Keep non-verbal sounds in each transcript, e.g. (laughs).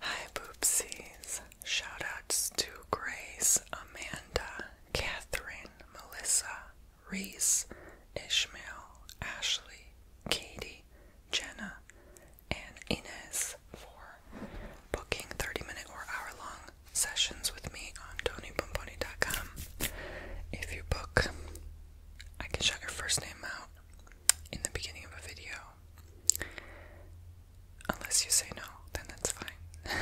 Hi, Boopsies. Shoutouts to Grace, Amanda, Catherine, Melissa, Reese, Ishmael, Ashley, Katie, Jenna, and Inez for booking 30 minute or hour long sessions with me on TonyPomponi.com. If you book, I can shout your first name out in the beginning of a video Unless you say no, then that's fine. (laughs)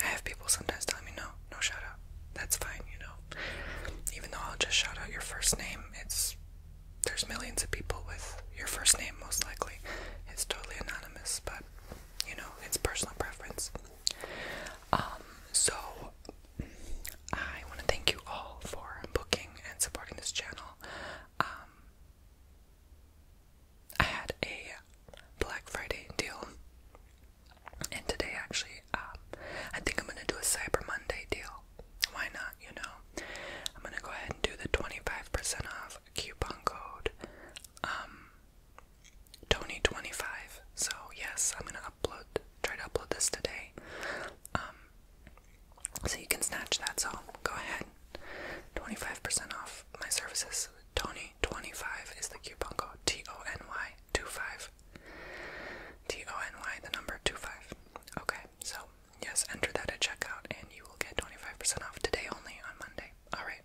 I have people sometimes telling me no, no shout out. That's fine, you know. Even though I'll just shout out your first name, it's there's millions of people with your first name most likely. It's totally anonymous, but you know, it's personal preference. Um, so I want to thank you all for booking and supporting this channel. Um, I had a Black Friday deal, and today actually, um, I think I'm gonna do a Cyber Monday deal. Why not? You know, I'm gonna go ahead and do the 25% off coupon code, um, Tony25. So yes, I'm gonna upload, try to upload this today. Um, so you can snatch that. So go ahead. 25% off my services. Tony25 is the coupon code. T O N Y five. T T O N Y, the number two five. Okay, so yes, enter that at checkout and you will get 25% off today only on Monday. Alright.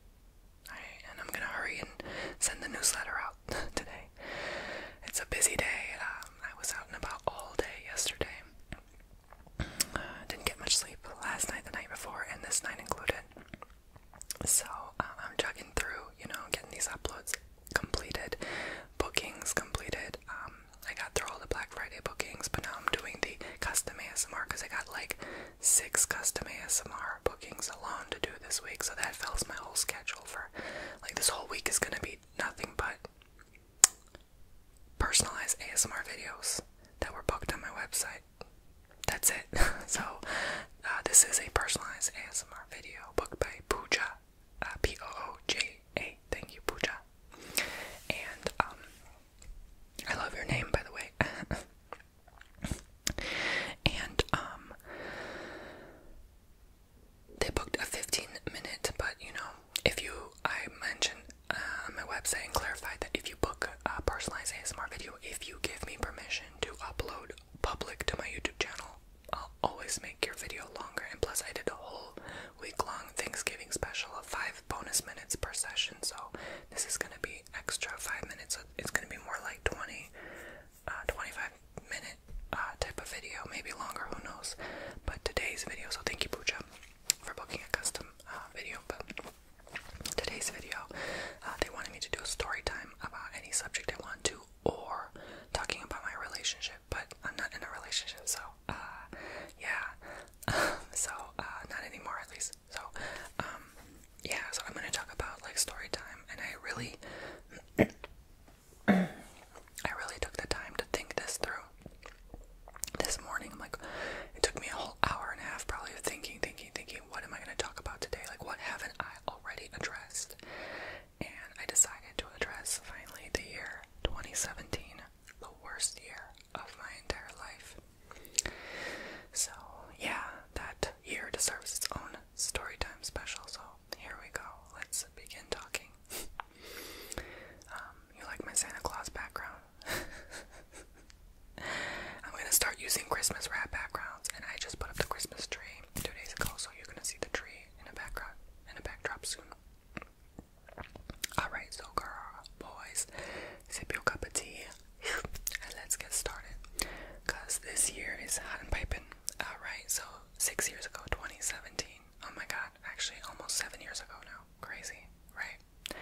Alright, and I'm gonna hurry and send the newsletter out (laughs) today. It's a busy day. Um, I was out and about all day yesterday. Uh, didn't get much sleep last night, the night before, and this night included. So uh, I'm chugging through, you know, getting these uploads completed, bookings completed. Um, I got through all the Black Friday bookings, but now I'm doing the custom ASMR because I got like six custom ASMR bookings alone to do this week. So that fills my whole schedule for like this whole week is gonna be nothing but personalized ASMR videos that were booked on my website. That's it. (laughs) so, uh, this is a personalized ASMR video booked by Pooja. Uh, P O O J A. Thank you, Pooja. And, um, I love your name, by the way. (laughs) and, um, they booked a 15 minute, but you know, if you, I mentioned uh, on my website and clarified that if you book a personalized ASMR video, if you give me permission to upload public to my YouTube channel, I'll always make your video longer. And plus, I did a whole week long Thanksgiving special of five bonus minutes per session, so this is gonna be extra five minutes. It's gonna be more like 20, uh, minute uh, type of video, maybe longer, who knows. But today's video, so thank you, Pooja, for booking a custom uh, video. But today's video, uh, they wanted me to do a story time about any subject I want to, or talking about my relationship. But I'm not in a relationship, so uh, yeah, um, so not anymore at least. So um, yeah, so I'm gonna talk about like story time, and I really. I really took the time to think this through. This morning, I'm like, it took me a whole hour and a half probably of thinking, thinking, thinking, what am I going to talk about today? Like, what haven't I already addressed? And I decided to address finally the year 2017, the worst year of my entire life. So, yeah, that year deserves its own story time special. So, here we go. Let's begin talking. (laughs) Um, you like my Santa Claus background? (laughs) I'm gonna start using Christmas wrap backgrounds, and I just put up the Christmas tree two days ago, so you're gonna see the tree in a background, in a backdrop soon. Alright, so girl, boys, sip your cup of tea, (laughs) and let's get started. Cause this year is hot and piping. Alright, so six years ago, 2017, oh my god, actually almost seven years ago now. Crazy, right?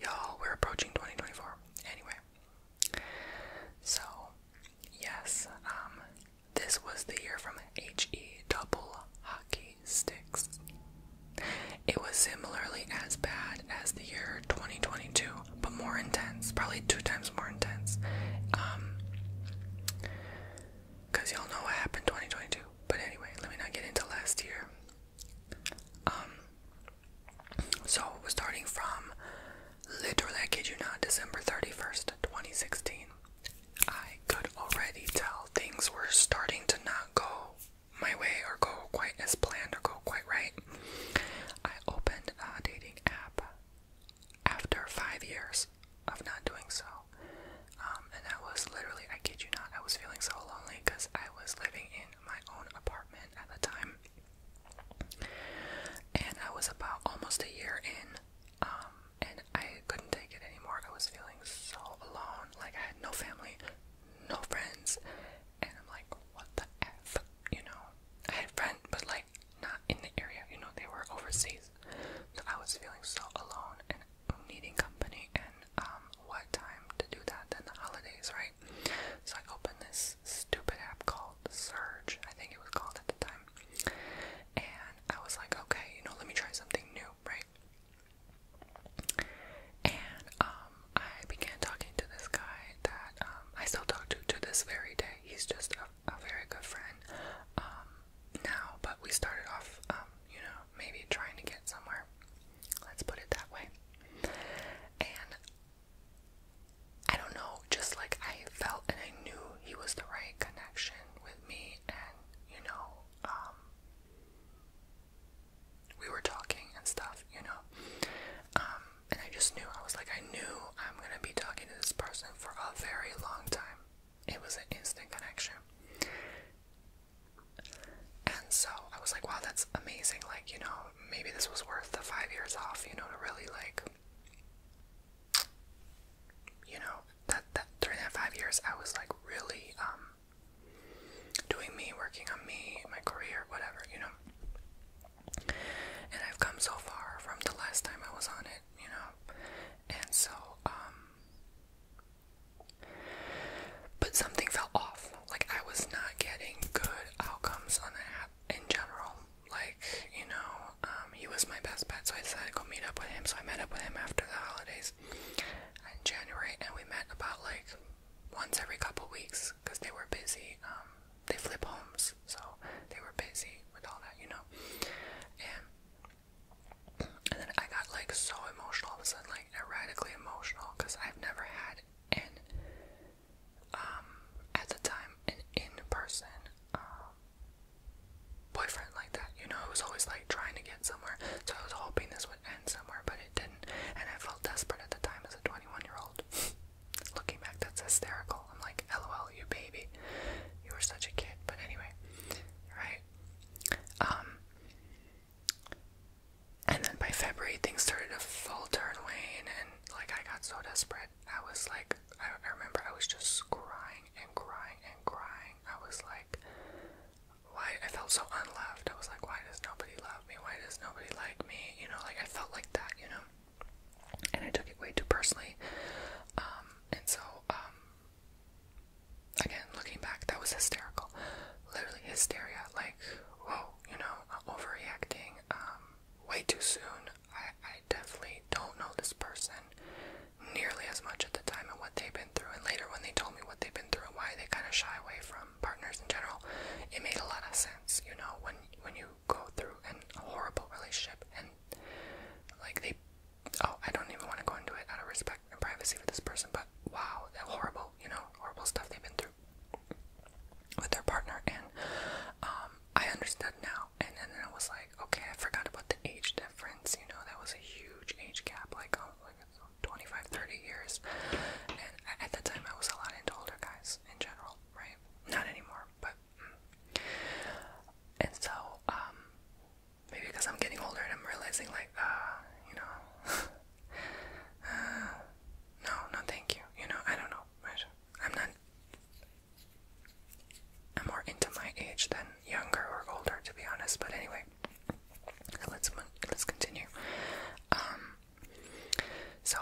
Y'all, we're approaching 2024. Anyway, so yes, um, this was the year from HE Double Hockey Sticks. It was similarly as bad as the year 2022, but more intense, probably two times more intense. Um, because y'all know what happened 2022. But anyway, let me not get into last year. Um, so we're starting from literally, I kid you not, December 31st, 2016. I could already tell things were starting to not go my way or go quite as planned or go quite right. I opened a dating app after five years of not doing so. Um, and that was literally, I kid you not, I was feeling so lonely because I was living in my own apartment at the time. And I was about almost a year in, um, and I couldn't take it anymore. I was feeling so alone, like I had no family, no friends, and I'm like, what the F? You know, I had friends, but like not in the area, you know, they were overseas. So I was feeling so alone, and needing company and um what time to do that in the holidays, right? So I open this stupid app called Surge, I think it was called at the time. And I was like, okay, you know, let me try something new, right? And um I began talking to this guy that um I still talk to to this very day. He's just a, a very good friend. Um now, but we started off um, you know, maybe trying to get somewhere. Let's put it that way. And I don't know, just like I felt and I knew he was the right connection with me, and you know, um, we were talking and stuff, you know. Um, and I just knew, I was like, I knew I'm gonna be talking to this person for a very long time it was an instant connection. And so I was like, wow, that's amazing. Like, you know, maybe this was worth the five years off, you know, to really like you know, that that during that five years I was like really um doing me, working on me, my career, whatever, you know. And I've come so far from the last time I was on it, you know. And so, um but something felt off. Like, I was not getting good outcomes on the app in general. Like, you know, um, he was my best bet, so I decided to go meet up with him. So I met up with him after the holidays in January, and we met about like once every couple weeks because they were busy. Um, they flip homes, so they were busy with all that, you know. And and then I got like so emotional all of a sudden, like erratically emotional, because I've never had an um at the time an in-person um boyfriend like that. You know, it was always like trying to get somewhere. So I was hoping this would end somewhere, but it didn't. And I felt desperate at the time as a 21-year-old. (laughs) Looking back, that's hysterical. I'm like, LOL, you baby. You were such a kid. But anyway, right? Um, and then by February, things started to falter and wane, and like I got so desperate. I was like, I, remember I was just crying and crying and crying. I was like, why? I felt so unloved. I was like, why does nobody love me? Why does nobody like me? You know, like I felt like that, you know? And I took it way too personally. Um, and so, um, again, looking back, that was hysterical. Literally hysteria, like, whoa, you know, overreacting, um, way too soon. I, I definitely don't know this person nearly as much at the time of what they've been through. And later, when they told me what they've been through and why they kind of shy away from partners in general, it made a lot of sense. You know, when when you go through a horrible relationship and like they Oh, I don't even want to go into it out of respect and privacy for this person, but wow, that horrible, you know, horrible stuff they've been through with their partner. And um, I understood now. And then I was like, okay, I forgot about the age difference. You know, that was a huge age gap, like, oh, 25, 30 years. And at that time, I was a lot into older guys in general, right? Not anymore, but. Mm. And so, um, maybe because I'm getting older and I'm realizing like, ah, you know, uh, (laughs) no, no, thank you. You know, I don't know. I'm not. I'm more into my age than younger or older, to be honest. But anyway, let's let's continue. Um, so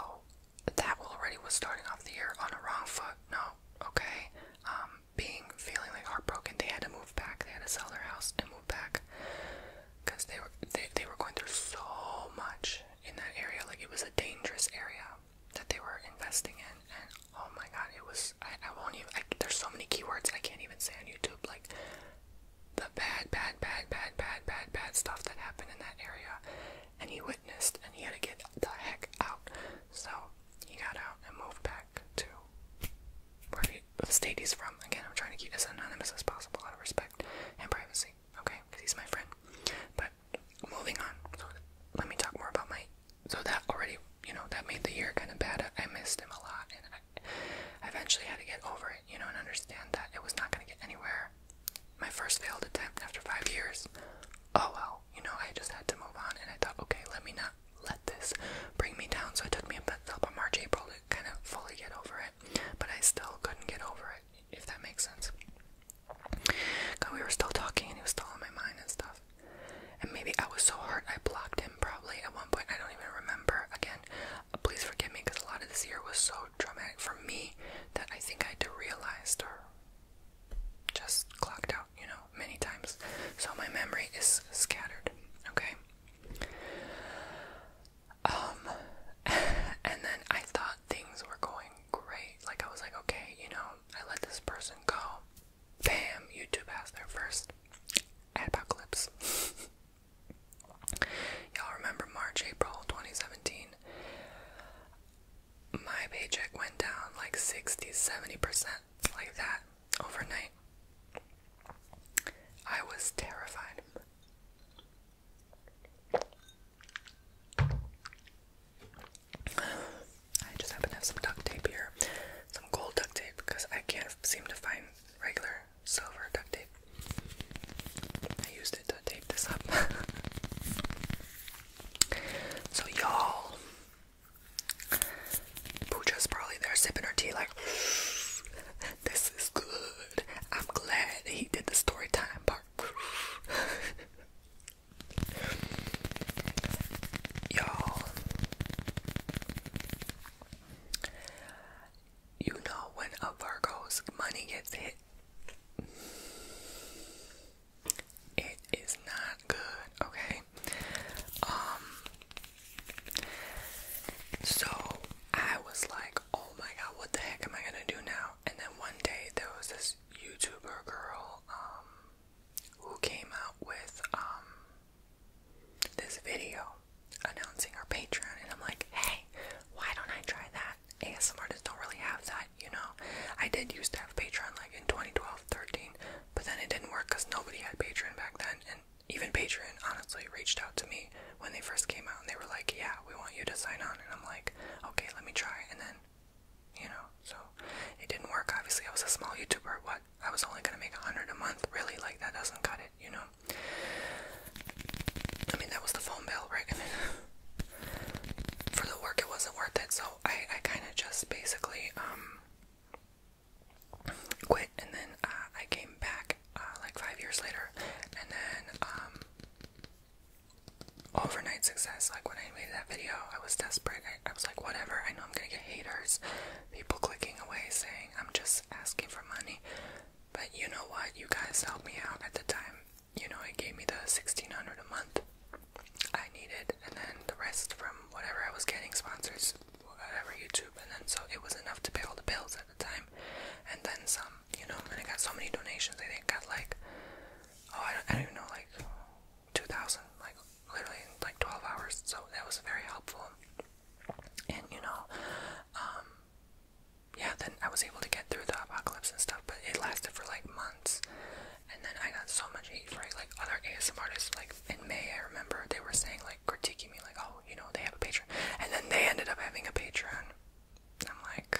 that already was starting off the year on a wrong foot. No, okay. Um, being feeling like heartbroken, they had to move back. They had to sell their house and move back because they were they, they were going through so much in that area. Like it was a dangerous area that they were investing in, and oh my god, it was. I, won't even. I, there's so many keywords I can't even say on YouTube. Like the bad, bad, bad, bad, bad, bad, bad stuff that happened in that area, and he witnessed, and he had to get the heck out. So he got out and moved back to where he state of state he's from. Again, I'm trying to keep as anonymous as possible out of respect and privacy. Okay, because he's my friend. But moving on. So let me talk more about my. So that already, you know, that made the year kind of bad. I missed him a lot, and I eventually had to get over it, you know, and understand that it was not going to get anywhere. My first failed attempt after five years. Oh well, you know, I just had to move on, and I thought, okay, let me not let this bring me down. So it took me a up on March, April to kind of fully get over it, but I still couldn't get over it, if that makes sense. God, we were still talking and he was still in my mind and stuff. And maybe I was so hurt I blocked him probably at one point. I don't even remember. Again, please forgive me because a lot of this year was so traumatic for me that I think I had to realize or just clocked out, you know, many times. So my memory is scattered, okay? Um, (laughs) and then I thought things were going great. Like, I was like, okay, you know, I let this person go. Bam, YouTube has their first apocalypse. (laughs) Y'all remember March, April 2017? My paycheck went down like 60 70% like that overnight. I was terrified. I just happen to have some duct tape here. Some gold duct tape because I can't seem to find regular silver duct tape. I used it to tape this up. (laughs) so, y'all, Pooja's probably there sipping her tea, like, (sighs) this is good. I'm glad he did the story time part. (sighs) Y'all, you know when a Virgo's money gets hit, it is not good, okay? Um, so I was like, oh my god, what the heck am I gonna do now? And then one day there was this YouTuber girl, um, who came out with, um, this video announcing our Patreon, and I'm like, hey, why don't I try that? ASMR artists don't really have that, you know. I did used to have Patreon like in 2012, 13, but then it didn't work because nobody had Patreon back then, and even Patreon honestly reached out to me when they first came out and they were like, yeah, we want you to sign on. And I'm like, okay, let me try. And then, you know, so it didn't work. Obviously, I was a small YouTuber. What? I was only going to make a hundred a month. Really? Like, that doesn't cut it, you know? I mean, that was the phone bill, right? I (laughs) mean, for the work, it wasn't worth it. So I, I kind of just basically, um, quit, and then uh, I came back uh, like five years later, and then um, overnight success. Like when I made that video, I was desperate. I, I was like, whatever. I know I'm gonna get haters, people clicking away, saying I'm just asking for money. But you know what? You guys helped me out at the time. You know, it gave me the sixteen hundred a month I needed, and then the rest from whatever I was getting sponsors whatever YouTube, and then so it was enough to pay all the bills at the time, and then some, you know. And I got so many donations. I think I got like, oh, I don't, I don't even know, like two thousand, like literally in like twelve hours. So that was very helpful. And you know, um, yeah. Then I was able to get through the apocalypse and stuff, but it lasted for like months. And then I got so much hate for it. Like other ASM artists, like in May, I remember they were saying like critiquing me, like, oh, you know, they have a Patreon. And then they ended up having a Patreon. I'm like,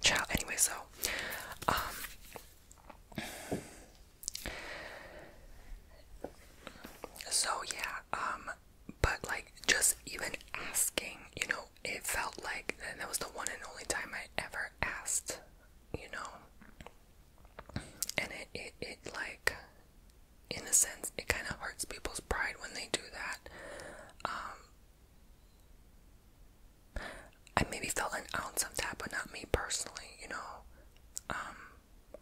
Child, anyway, so, um, so yeah, um, but like just even asking, you know, it felt like and that was the one and only time I ever asked, you know. And it it, it like in a sense it kind of hurts people's pride when they do that. Um I maybe felt an ounce of that, but not me personally, you know. Um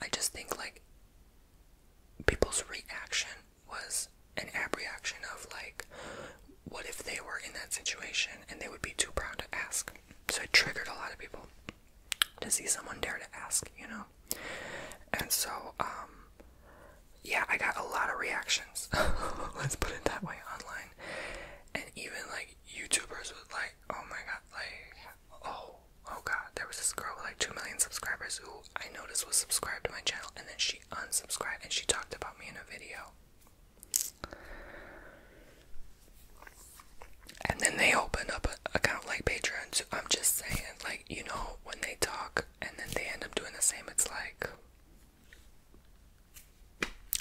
I just think like people's reaction was an apprehension of like, what if they were in that situation and they would be too proud to ask? So it triggered a lot of people to see someone dare to ask, you know? And so, um, yeah, I got a lot of reactions. (laughs) Let's put it that way online. And even like YouTubers would like, oh my god, like, oh, oh god, there was this girl with like 2 million subscribers who I noticed was subscribed to my channel and then she unsubscribed and she talked about me in a video. And then they open up an account like Patreon. So I'm just saying, like, you know, when they talk and then they end up doing the same, it's like,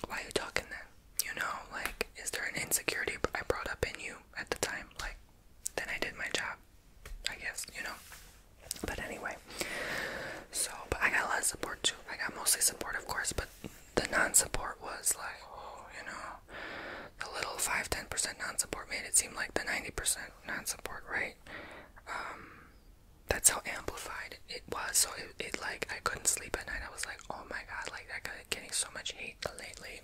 why are you talking then? You know, like, is there an insecurity I brought up in you at the time? Like, then I did my job. I guess, you know. But anyway, so, but I got a lot of support too. I got mostly support, of course, but the non support was like, oh, you know, the little 5 10% non support made it seem like the 90% non support, right? Um, that's how amplified it was. So it, it, like, I couldn't sleep at night. I was like, oh my god, like, I got getting so much hate lately.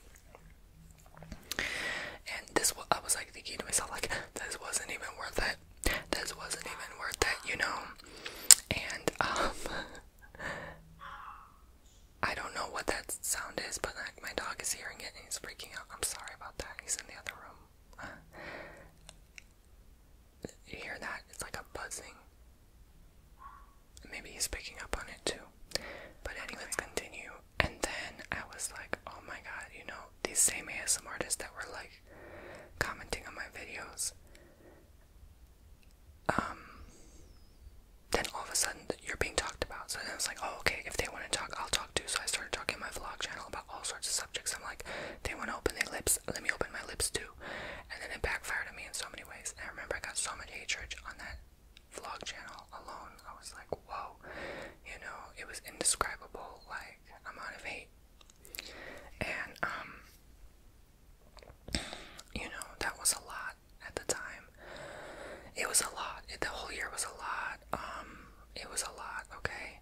And this, I was like thinking to myself, like, this wasn't even worth it. This wasn't even worth it, you know. And um, (laughs) I don't know what that sound is, but like my dog is hearing it and he's freaking out. I'm sorry about that. He's in the other room. (sighs) you hear that? It's like a buzzing. Maybe he's picking up on it too. But anyway, let's continue and then I was like, oh my god, you know, these same ASM artists that were like commenting on my videos. Um, then all of a sudden you're being talked about. So then I was like, oh okay, if they want to talk, I'll talk too. So I started talking my vlog channel about all sorts of subjects. I'm like, they want to open their lips, let me open my lips too. And then it backfired on me in so many ways. I remember I got so much hatred on that vlog channel alone. I was like, whoa you know, it was indescribable, like, amount of hate. And, um, you know, that was a lot at the time. It was a lot. the whole year was a lot. Um, it was a lot, okay?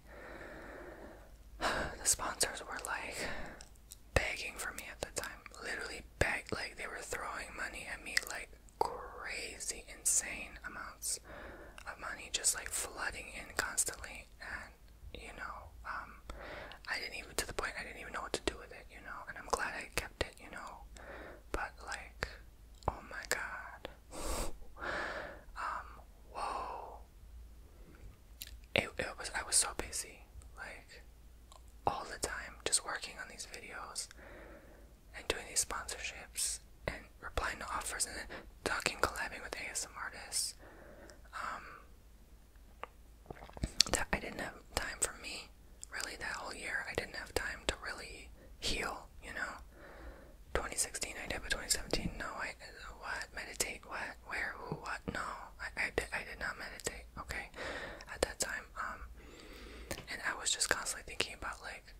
(sighs) the sponsors were like begging for me at the time. Literally begged, like, they were throwing money at me, like, crazy, insane amounts of money just like flooding in constantly, and you know, um, I didn't even to the point I didn't even know what to do with it, you know, and I'm glad I kept it, you know, but like, oh my god, (laughs) um, whoa, it, it was I was so busy, like all the time, just working on these videos, and doing these sponsorships and replying to offers and then talking, collabing with ASMR artists. Um, I didn't have time for me, really, that whole year. I didn't have time to really heal, you know? 2016 I did, but 2017, no, I, what, meditate, what, where, who, what, no, I, I, did, I did not meditate, okay, at that time, um, and I was just constantly thinking about, like,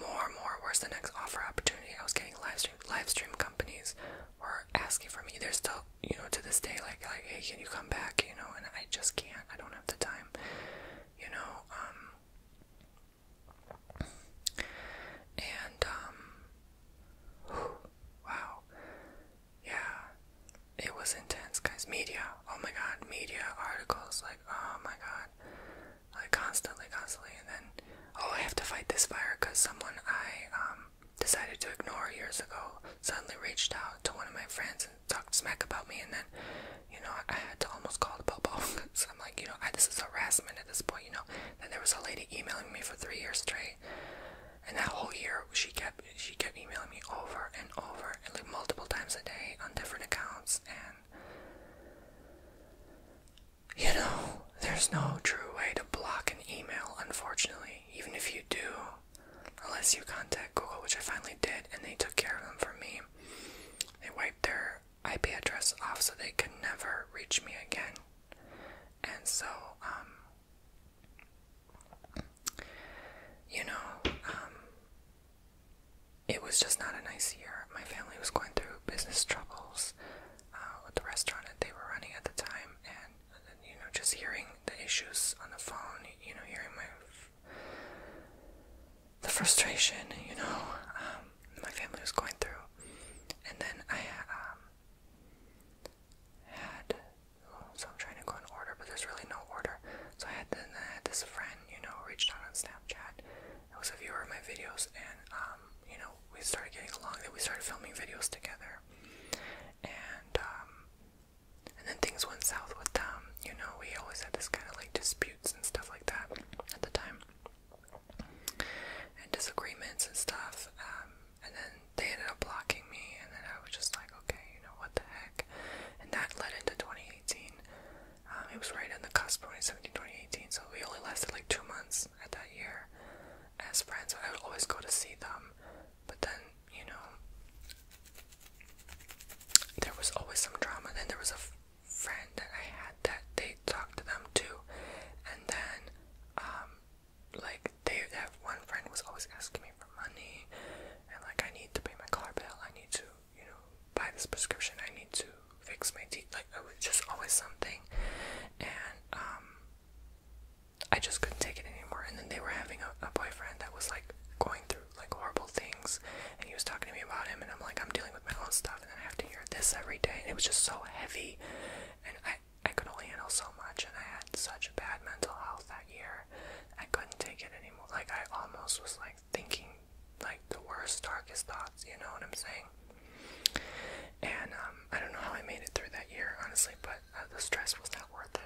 more and more. Where's the next offer opportunity? I was getting live stream. Live stream companies were asking for me. They're still, you know, to this day, like, like, hey, can you come back? You know, and I just can't. I don't have the time. You know. Um, and um, wow. Yeah. It was intense, guys. Media. Oh my god. Media articles. Like, oh my god like constantly, constantly, and then oh, I have to fight this fire because someone I um decided to ignore years ago suddenly reached out to one of my friends and talked smack about me, and then you know I had to almost call the police. (laughs) so I'm like, you know, I, this is harassment at this point, you know. Then there was a lady emailing me for three years straight, and that whole year she kept she kept emailing me over and over, and like multiple times a day on different accounts, and you know, there's no true way to block an email, unfortunately, even if you do. Unless you contact Google, which I finally did, and they took care of them for me. They wiped their IP address off so they could never reach me again. And so, um, you know, um, it was just not a nice year. My family was going through business troubles uh, with the restaurant that they were running at the time, and you know, just hearing the issues on the phone, you know, hearing my the frustration, you know, um, my family was going through, and then I um, had. Oh, so I'm trying to go in order, but there's really no order. So then I had this friend, you know, reached out on Snapchat it was a viewer of my videos, and um, you know, we started getting along. That we started filming videos together, and um, and then things went south with them. You know, we always had this kind of like disputes and stuff like that at the time, and disagreements and stuff. Um, and then they ended up blocking me, and then I was just like, okay, you know what the heck, and that led into 2018. Um, it was right on the cusp of 2017, 2018, so we only lasted like two months at that year as friends. So I would always go to see them, but then, you know, there was always some drama. Then there was a friend that I had that they talked to them too, and then, um, like, they that one friend was always asking me for money, and like, I need to pay my car bill, I need to you know, buy this prescription. I need to fix my teeth. Like it was just always something, and um, I just couldn't take it anymore. And then they were having a, a boyfriend that was like going through like horrible things, and he was talking to me about him, and I'm like, I'm dealing with my own stuff, and then I have to hear this every day, and it was just so heavy, and I I could only handle so much, and I had such bad mental health that year. I couldn't take it anymore. Like I almost was like thinking like the worst, darkest thoughts, you know what I'm saying? And um, I don't know how I made it through that year, honestly, but uh, the stress was not worth it.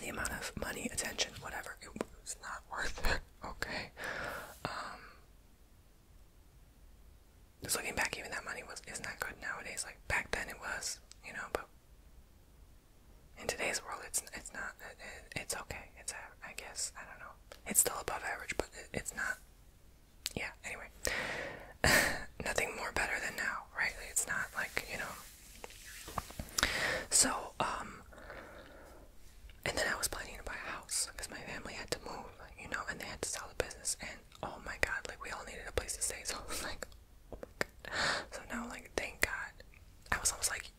The amount of money, attention, whatever, it was not worth it, (laughs) okay? Um, just looking back, even that money was is not good nowadays. Like back then, it was, you know, but in today's world, it's it's not it's okay. It's I guess I don't know. It's still above average, but it's not. Yeah. Anyway, (laughs) nothing more better than now, right? It's not like you know. So um. And then I was planning to buy a house because my family had to move, you know, and they had to sell the business. And oh my God, like we all needed a place to stay, (laughs) so I was like, oh my God. So now, like, thank God. I was almost like,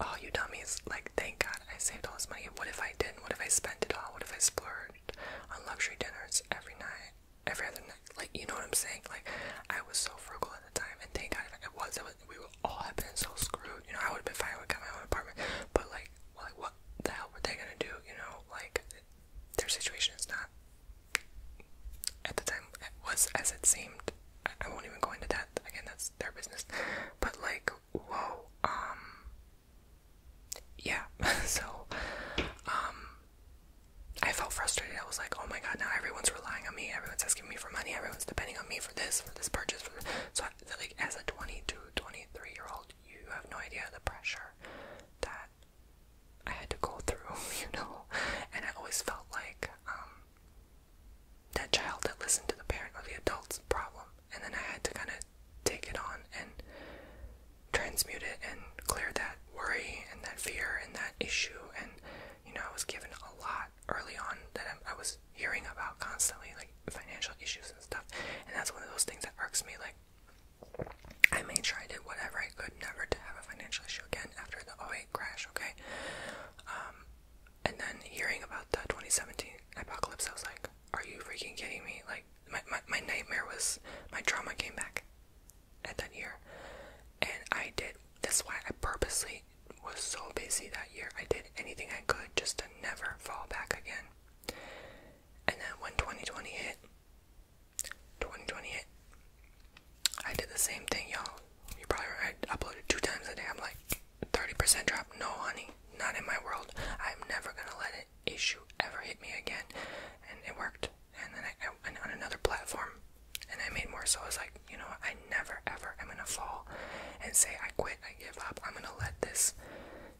Oh, you dummies. Like, thank God I saved all this money. What if I didn't? What if I spent it all? What if I splurged on luxury dinners every night, every other night? Like, you know what I'm saying? Like, I was so frugal at the time, and thank God I was, we would all have been so screwed. You know, I would have been fine. I would have my own apartment. But, like, what the hell were they gonna do? You know, like, their situation is not, at the time, it was as it seemed. I won't even go into that. Again, that's their business. But like, whoa, um, yeah. (laughs) so, um, I felt frustrated. I was like, oh my god, now everyone's relying on me. Everyone's asking me for money. Everyone's depending on me for this, for this purchase. For this. So, like, as a 22, 23 year old, you have no idea the pressure that I had to go through, (laughs) you know. And I always felt like, um, that child that listened to the parent or the adult's problem, and then I had to kind of take it on and transmute it and clear that worry and that fear and that issue. And you know, I was given a lot early on that I, was hearing about constantly, like financial issues and stuff. And that's one of those things that irks me. Like, I made sure I did whatever I could never to have a financial issue again after the 08 crash, okay? Um, and then hearing about the 2017 apocalypse, I was like, are you freaking kidding me? Like, my, my, my nightmare was, my trauma came back at that year. And I did, that's why I purposely was so busy that year. I did anything I could just to never fall back again. And then when 2020 hit, 2020 hit, I did the same thing, y'all. You probably uploaded two times a day. I'm like, 30% drop. No, honey, not in my world. I'm never gonna let it issue ever hit me again. And it worked. And then I, I went on another platform and I made more. So I was like, you know, I never ever am gonna fall and say, I quit, I give up. I'm gonna let this,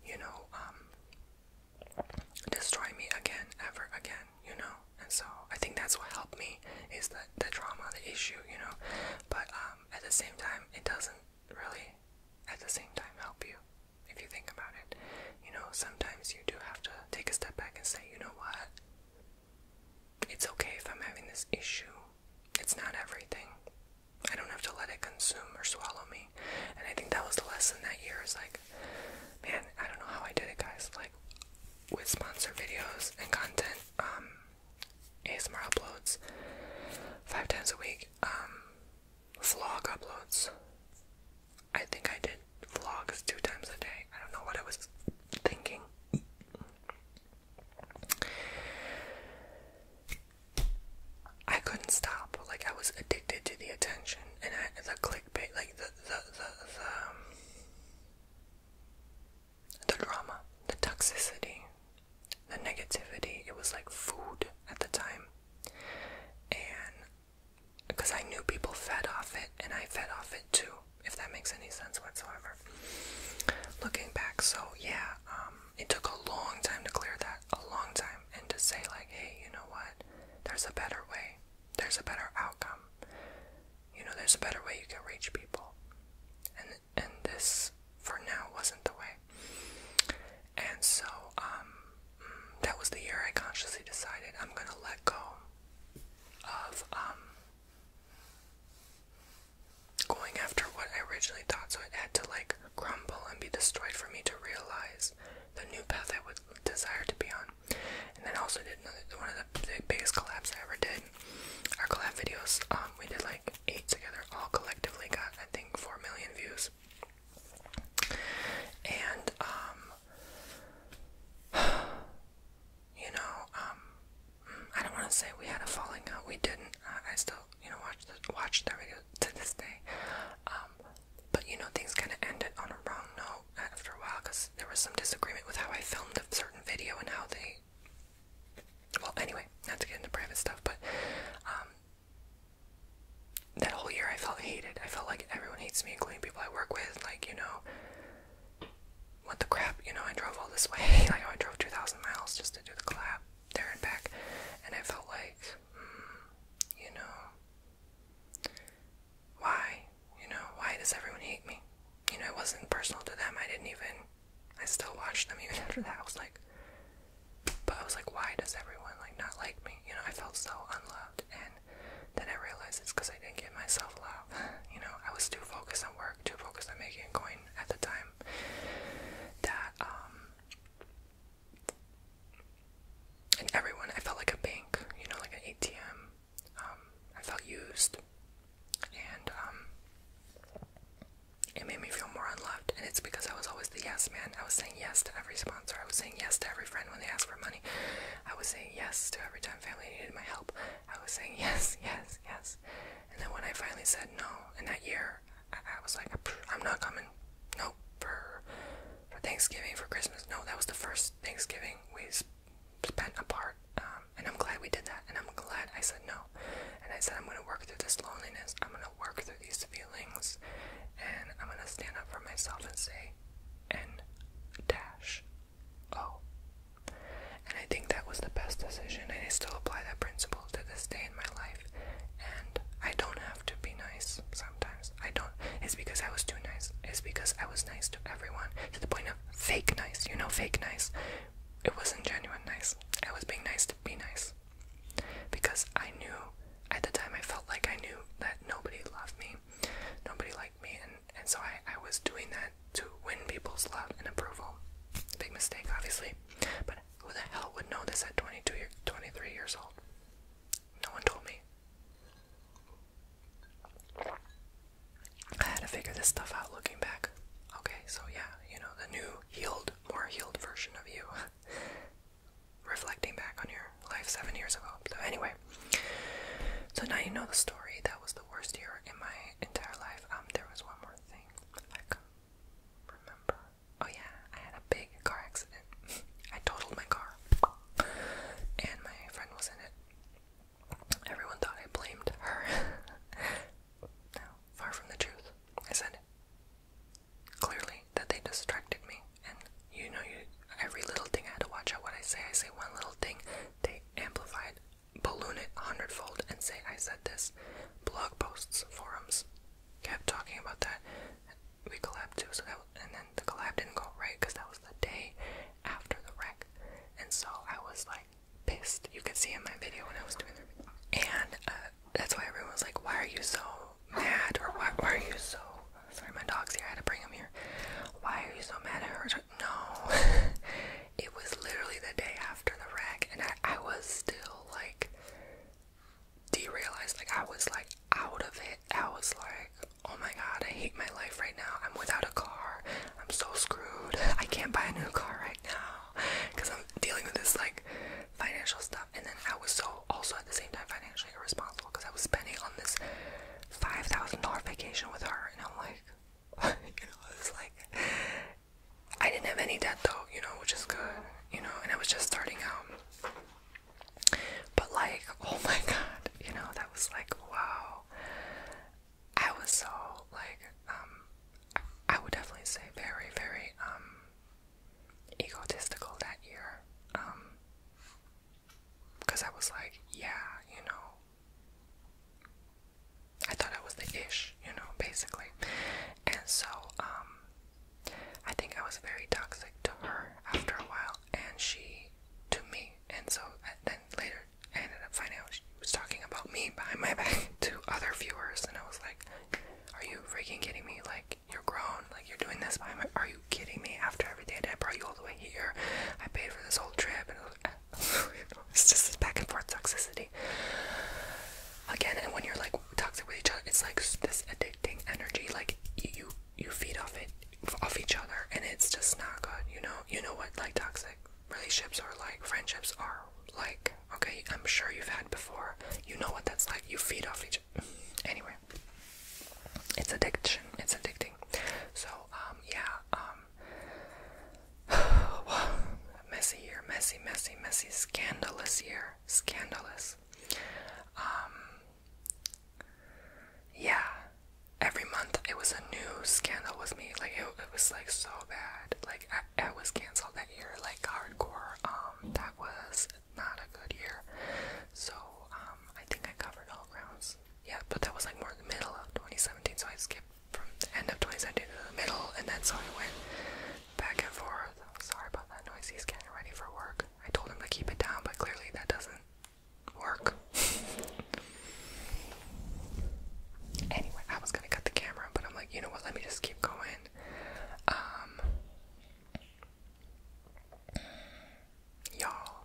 you know, um, destroy me again, ever again, you know? And so I think that's what helped me is that the trauma, the issue, you know? But, um. Um, at the same time, it doesn't really at the same time help you if you think about it. You know, sometimes you do have to take a step back and say, you know what? It's okay if I'm having this issue. It's not everything. I don't have to let it consume or swallow me. And I think that was the lesson that year is like, man, I don't know how I did it, guys. Like, with sponsor videos and content, um, ASMR uploads five times a week. Um, vlog uploads. I think I did vlogs two times a day. I don't know what I was thinking. I couldn't stop. Like I was addicted to the attention and I, the clickbait, like the the the the, um, the drama, the toxicity, the negativity. It was like food at the time. And because I knew people fed off it and I fed off it too, if that makes any sense whatsoever. Looking back, so yeah, um, it took a long time to clear that, a long time, and to say, like, hey, you know what? There's a better way, there's a better outcome, you know, there's a better way you can reach people. And and this for now wasn't the way. And so, um, mm, that was the year I consciously decided I'm gonna let go of, um, going after what I originally thought. So it had to like crumble and be destroyed for me to realize the new path I would desire to be on. And then also did another, one of the biggest collapse I ever did our collab videos. Um, we did like eight together, all collectively got I think four million views. And um, (sighs) you know, um, mm, I don't want to say we had a falling out. We didn't. I still, you know, watch the, watch the videos to this day. Um, but you know, things kind of ended on a wrong note after a while because there was some disagreement with how I filmed a certain video and how they well, anyway, not to get into private stuff, but um, that whole year I felt hated. I felt like everyone hates me, including people I work with. Like, you know, what the crap, you know, I drove all this way. (laughs) like, I drove 2,000 miles just to do the collab there and back. And I felt like, hmm, you know, why? You know, why does everyone hate me? You know, it wasn't personal to them. I didn't even I still watched them even after that. I was like, but I was like, why does everyone like not like me? You know, I felt so unloved, and then I realized it's because I didn't give myself love. you know, I was too focused on work, too focused on making a coin at the time. That um, and everyone, I felt like a bank. You know, like an ATM. Um, I felt used and um, it made me feel more unloved. And it's because I was always the yes man. I was saying yes to every sponsor. I was saying yes to every friend when they asked for money. I was saying yes to every time family needed my help. I was saying (laughs) yes, yes, yes. And then when I finally said no, in that year, I, was like, I'm not coming. No, For for Thanksgiving, for Christmas. No, that was the first Thanksgiving we spent apart. Um, and I'm glad we did that. And I'm glad I said no. And I said, I'm going to work through this loneliness. I'm going to work through these feelings. And I'm going to stand up for myself and say, N dash O. And I think that was the best decision. And I still apply that principle to this day in my life. And I don't have to be nice sometimes. I don't. It's because I was too nice. It's because I was nice to everyone to the point of fake nice. You know, fake nice. It wasn't genuine nice. I was being nice be nice. Because I knew at the time I felt like I knew that nobody loved me, nobody liked me, and, and so I, I was doing that to win people's love and approval. Big mistake, obviously. But who the hell would know this at 22 23 years old? No one told me. I had to figure this stuff out looking back. Okay, so yeah, you know, the new healed more healed version of you. (laughs) Reflecting back on your life seven years ago. So, anyway, so now you know the story. That was the worst year in my entire life. Um, there was one more thing I remember. Oh, yeah, I had a big car accident. (laughs) I totaled my car, and my friend was in it. Everyone thought I blamed her. (laughs) no, far from the truth. I said clearly that they distracted me, and you know, you every little thing I had to watch out what I say. I say one little thing, they amplified, balloon it a hundredfold, and say I said this. Blog posts, forums, kept talking about that. We collabed too, so and then the collab didn't go right because that was the day after the wreck, and so I was like pissed. You could see in my video when I was doing the and uh, that's why everyone was like, "Why are you so mad?" or "Why, are you so?" Sorry, my dog's here. I had to bring him here. Why are you so mad at her? No, (laughs) it was literally the day after the wreck, and I, I was still like derealized. Like I was like out of it. I was like, "Oh my god, I hate my life right now. I'm without a car. I'm so screwed. I can't buy a new car right now." because (laughs) I'm dealing with this like financial stuff. And then I was so also at the same time financially irresponsible because I was spending on this five thousand dollar vacation with her, and I'm like, (laughs) you know, I was like, I didn't have any debt though, you know, which is good, you know, and I was just starting out. But like, (laughs) oh my god, you know, that was like, wow. I was so like, um, I would definitely say very, very um egotistical that year. Um because I was like, yeah, you know. I thought I was the ish, you know, basically. And so, um I think I was very toxic to her after a while and she to me and so uh, then later I ended up finding out she was talking about me behind my back (laughs) to other viewers and I was like are you freaking kidding me? Like, you're grown. Like, you're doing this by my. Are you kidding me? After everything I did, brought you all the way here. I paid for this whole trip. And it was, (laughs) it's just back and forth toxicity. Again, and when you're like toxic with each other, it's like this addicting energy. Like, you, you, you feed off it, off each other, and it's just not good. You know, you know what, like, toxic relationships or like friendships are like Okay, I'm sure you've had before. You know what that's like. You feed off each (laughs) anyway. It's addiction. It's addicting. So, um, yeah, um (sighs) messy year, messy, messy, messy, scandalous year. Scandalous. Um Yeah. Every month it was a new scandal with me. Like it, it was like so bad. Like I, I was cancelled year, like hardcore, um, that was not a good year. So, um, I think I covered all grounds. Yeah, but that was like more in the middle of 2017, so I skipped from the end of 2017 to the middle, and then so I went back and forth. Sorry about that noise, he's getting ready for work. I told him to keep it down, but clearly that doesn't work. (laughs) anyway, I was gonna cut the camera, but I'm like, you know what, let me just keep going. Um, y'all,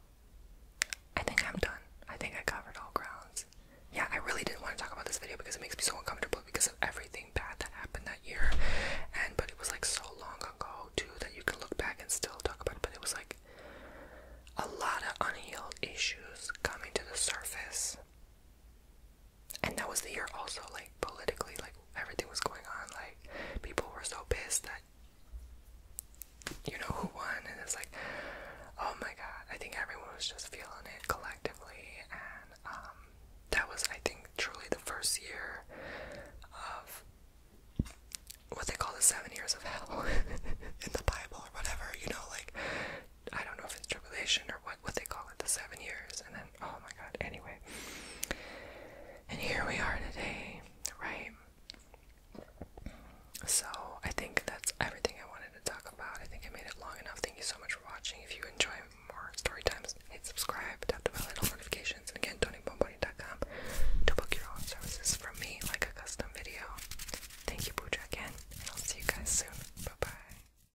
I think I'm done. I think I covered all grounds. Yeah, I really didn't want to talk about this video because it makes me so uncomfortable because of everything bad that happened that year. And but it was like so long ago too that you can look back and still talk about it. But it was like a lot of unhealed issues coming to the surface and that was the year also like politically like everything was going on like people were so pissed that you know who won and it's like oh my god i think everyone was just feeling it collectively and um, that was i think truly the first year of what they call the seven years of hell (laughs) in the bible or whatever you know like I don't know if it's tribulation or what what they call it, the seven years, and then oh my god, anyway. And here we are today, right? So I think that's everything I wanted to talk about. I think I made it long enough. Thank you so much for watching. If you enjoy more story times, hit subscribe, tap the bell and all notifications, and again tonybomboni.com to book your own services from me like a custom video. Thank you, Pooja again, and I'll see you guys soon. Bye bye.